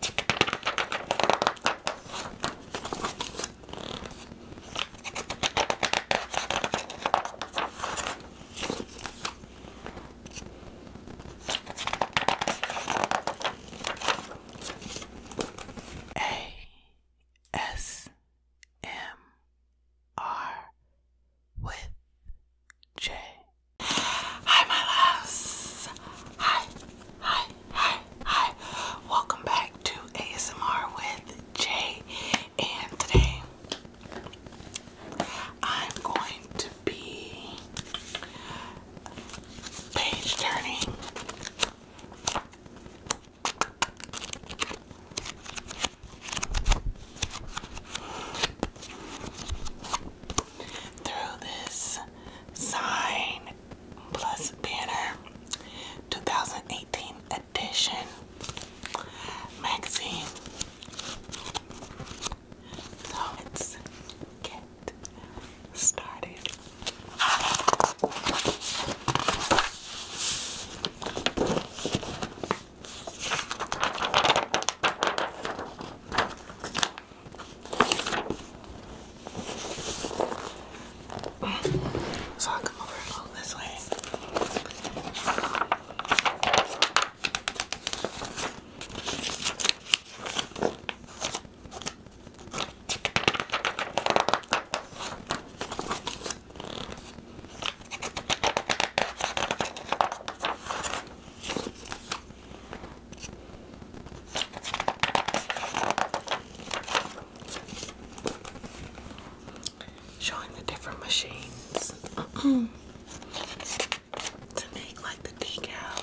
ASMR with J. Hi, my loves. Hi, hi, Hi, hi. Welcome back to ASMR with Jay. And today I'm going to be page turning. Through this sign Plus Banner 2018 edition magazine. So let's get started. So I'll come over along this way. Showing the different machines to make like the decals.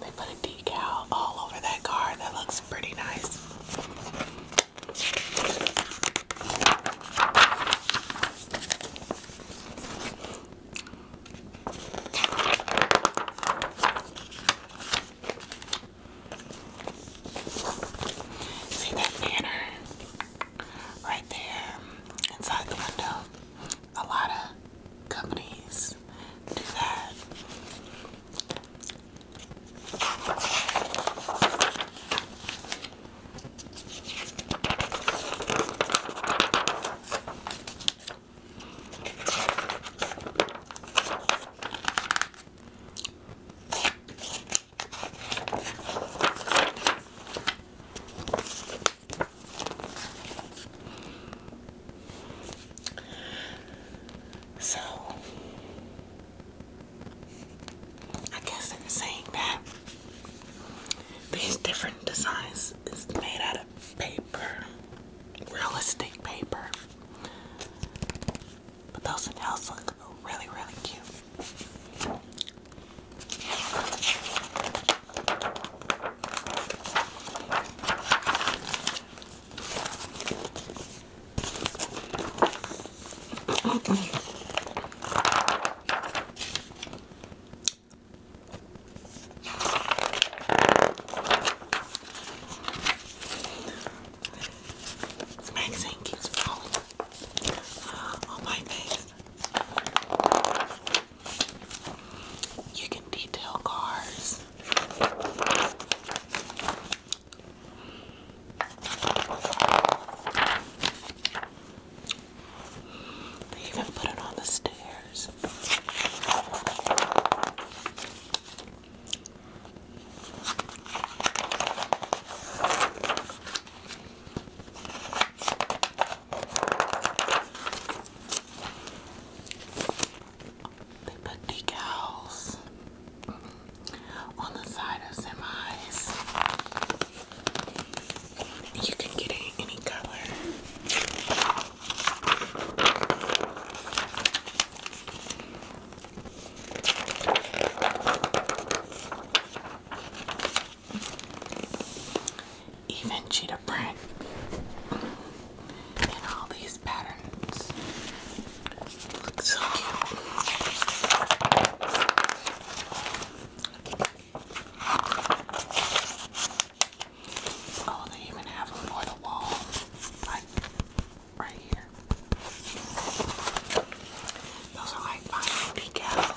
They put a decal all over that car. That looks pretty nice. See that banner right there inside the window? a lot of companies do that. So, I guess I'm saying that, these different designs is made out of paper, realistic paper. But those nails look really, really cute. This magazine keeps falling uh, on my face. You can detail cars. They even put it on the stairs. They put decals on the side of semis. You can get any color. Even cheetah print and all these patterns Oh, they even have them for the wall, like right here. Those are like my decals.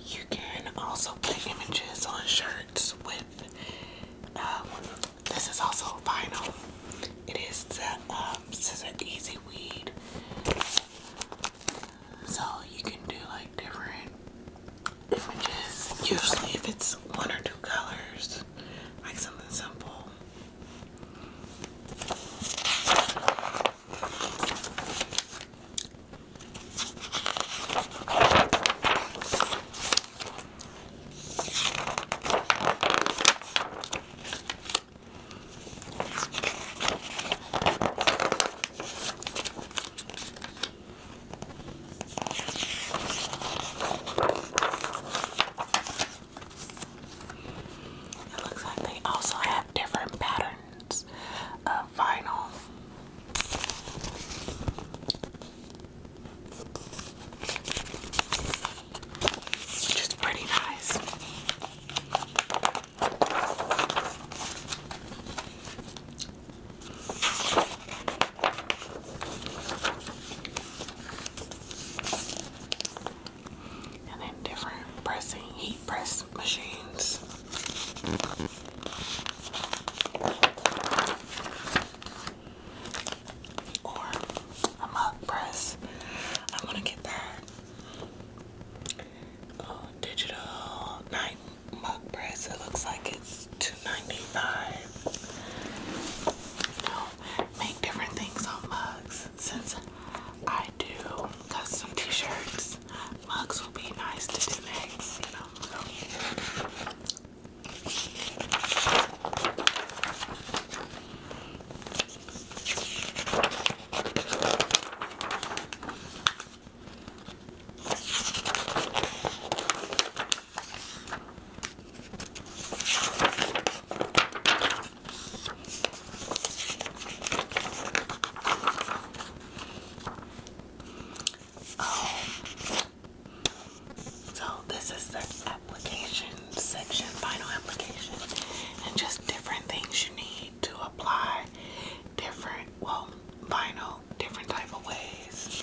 You can also put images on shirts with, um, this is also vinyl. It is This is an Easy Weed. So you can do like different Usually, if it's one or two colors, like something simple. It looks like they also have different patterns of vinyl. Which is pretty nice. And then different pressing, heat press machines. Or a mug press. I'm to get that uh, digital nine mug press. It looks like it's $2.95. You know, make different things on mugs. Since I do custom t-shirts, mugs will be nice to do next, you know. Oh, so this is the application section, final application, and just different things you need to apply different, well, vinyl, different type of ways.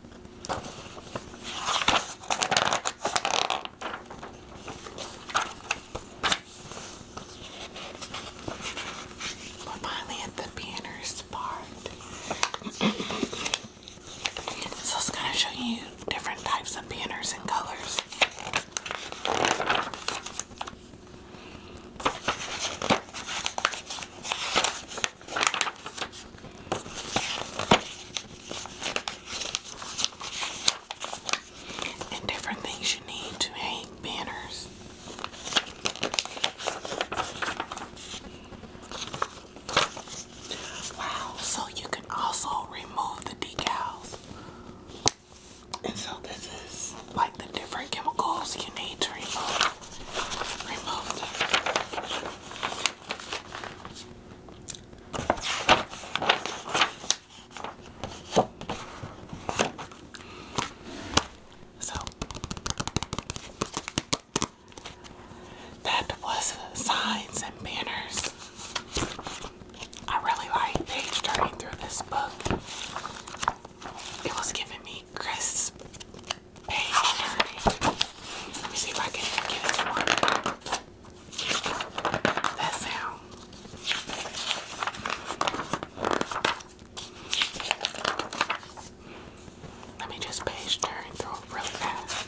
We're finally at the beginner's part. so I'm it's gonna show you different types of banners and colors and different things you need to hang banners. Wow, so you can also remove the decals. And so this is like the different chemicals you need to remove. So that was signs and banners. I really like page turning through this book. It was giving me crisp page turning. Let me see if I can get it to work that sound. Let me just page turn through it really fast.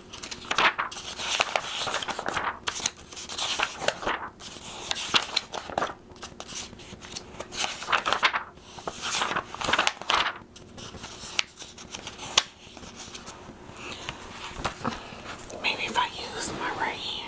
Maybe if I use my right hand.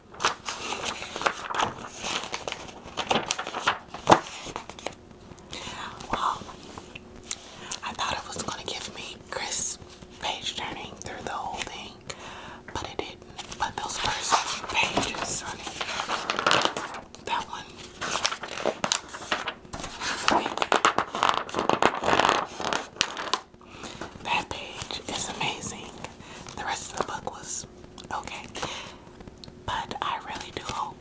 Well, um, I thought it was going to give me crisp page turning through the whole thing, but it didn't. But those first pages on that one. That page is amazing the rest of the book was okay. But I really do hope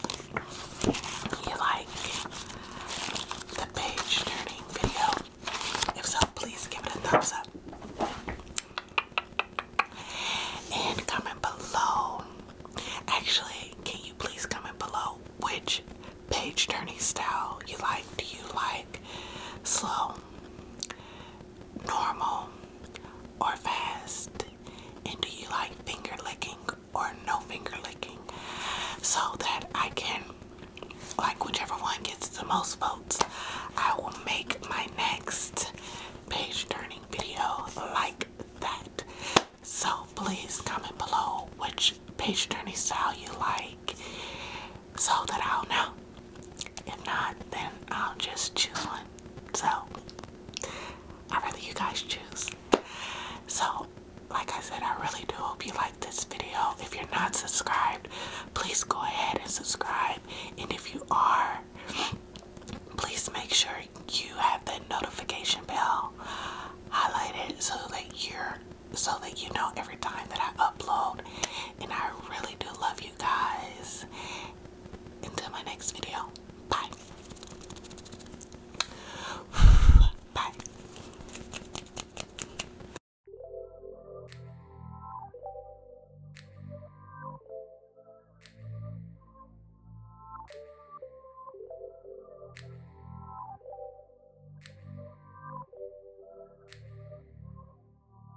you like the page turning video. If so, please give it a thumbs up. And comment below. Actually, can you please comment below which page turning style you like? Do you like slow? normal or fast? And do you like finger licking or no finger licking? So that I can, like, whichever one gets the most votes, I will make my next page turning video like that. So please comment below which page turning style you like so that I'll know. If not, then I'll just choose one. So i rather you guys choose. So, like I said, I really do hope you like this video. If you're not subscribed, please go ahead and subscribe. And if you are, please make sure you have the notification bell highlighted so that you're so that you know every time that I upload. And I really do love you guys. Until my next video. Bye. Bye.